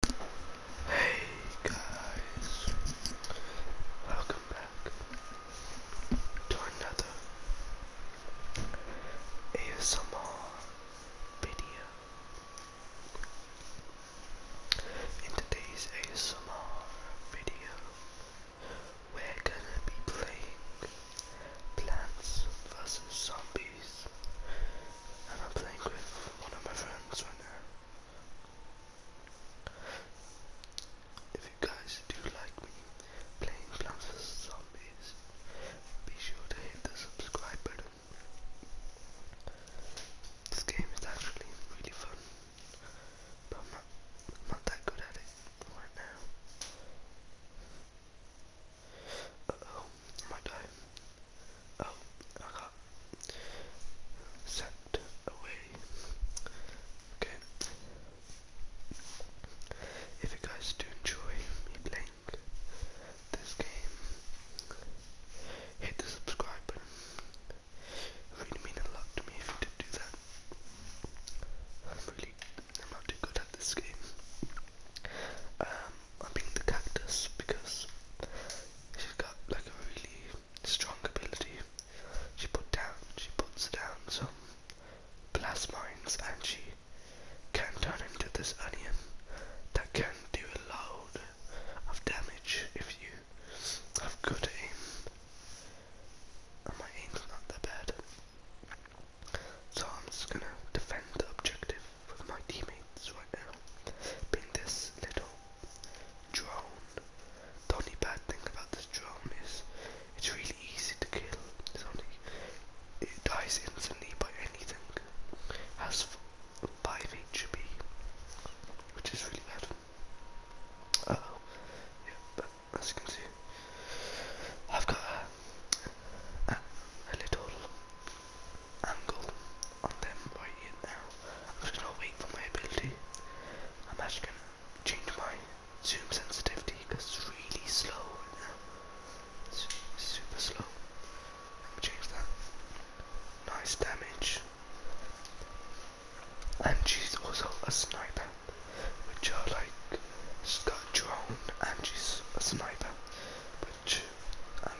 Hey guys, welcome back to another ASMR video. In today's ASMR video, we're gonna be playing Plants vs Zombies I'm playing with one of my friends right now. If you guys do like playing Plants vs Zombies, be sure to hit the subscribe button. This game is actually really fun, but I'm not that good at it right now oh I might die. Oh, I got sent away. Okay. If you guys do enjoy me playing this game, hit the subscribe button. It really means a lot to me if you did do that. I'm really, I'm not too good at this game. I'm um, picking the cactus because she's got like a really strong ability. She put down, she puts down some plasma mines, and she can turn into this onion that can do a load of damage if you have good aim. And my aim's not that bad. So I'm just gonna defend the objective with my teammates right now. Being this little drone. The only bad thing about this drone is it's really easy to kill. it dies instantly by anything. Has five HP, which is really bad. oh, yeah, but as you can see, I've got a, little angle on them right here now. I'm just gonna wait for my ability. I'm actually gonna change my zoom sensitivity because it's really slow It's super slow. Let change that. Nice damage. And she's also a sniper which are like she drone and she's a sniper, which and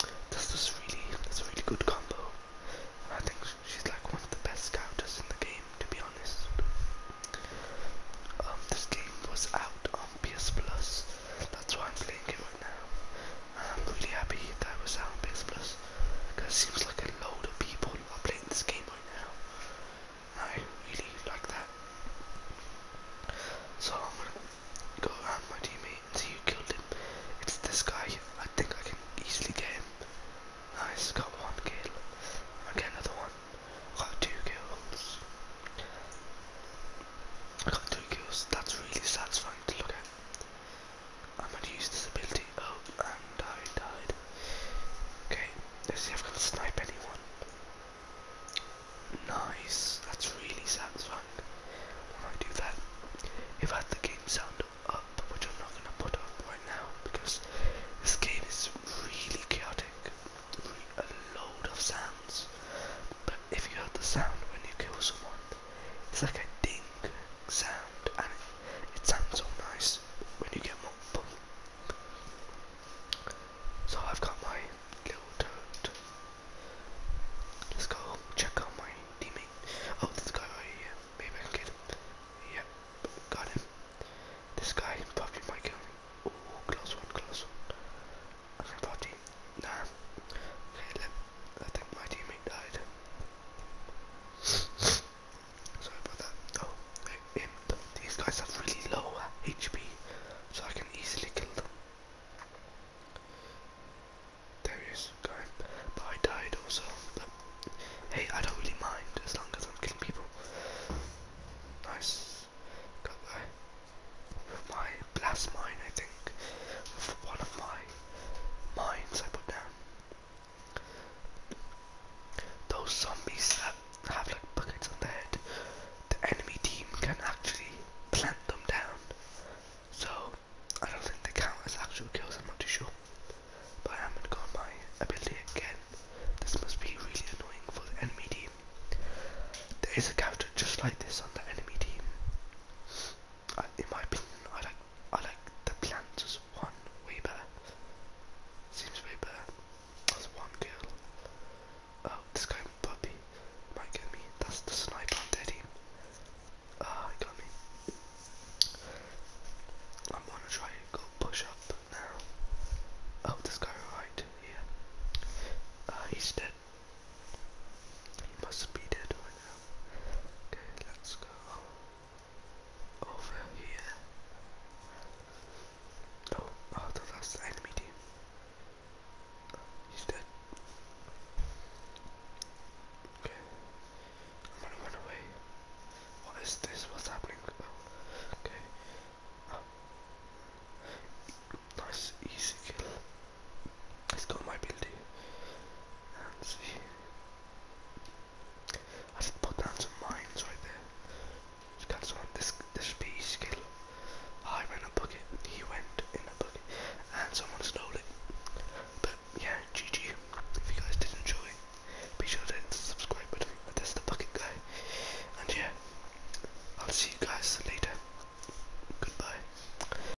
um, that's this really that's really good combo. I think she's like one of the best scouters in the game, to be honest. Um, this game was out on PS Plus. That's why I'm playing it right now. I'm really happy that it was out on PS Plus because it seems like a load of people are playing this game right now. I really like that. So I'm gonna go around my teammate and see who killed him. It's this guy. I think I can easily get him. I Nice, got one kill. I get another one. I got two kills. I got two kills. That's really satisfying to look at. I'm gonna use this ability. Oh, died, Okay, let's see if I can snipe anyone. Nice, that's really satisfying when I do that. If I had the game sound up, which I'm not going to put up right now because this game is really chaotic, a load of sounds. But if you heard the sound when you kill someone, it's like a ding sound and it, sounds so nice when you get multiple so I've got my little toad. Let's go check on my teammate. Oh, this guy right Maybe I can get him. Yep, got him. This guy probably might kill me. Oh, close one, close one. I can Nah. Okay, let, I think my teammate died. Sorry about that. Oh, um, These guys have really low HP, uh, so I can easily kill them. There he is, going. But I died also. But hey, I don't really mind as long as I'm killing people. Nice. Got my, blast mine, I think. With one of my mines I put down. Those zombies that have like buckets on their head, the enemy team can actually plant them down. So I don't think they count as actual kills, I'm not too sure. But I am gonna go on my ability again. This must be really annoying for the enemy team. There is a character just like this on the enemy team in my opinion, I like I like the planters one way better. Seems way better. That's one girl. Oh, this guy with puppy might get me. That's the sniper on Teddy. Ah, got me. I'm gonna try and go push up now. Oh, this guy right here. Uh, he's dead. He must be dead right now. Okay, let's go over here. Oh, oh, that's the enemy team. he's dead. Okay, I'm gonna run away. What is this? What's happening? okay. Um, nice, easy kill. It's got my building and see. I should put down some mines right there. got some this this bee skill. Ah, I went a bucket, he went in a bucket, and someone stole it. But yeah, GG. If you guys did enjoy, be sure to hit the subscribe button. That's the bucket guy. And yeah, I'll see you guys later. Goodbye.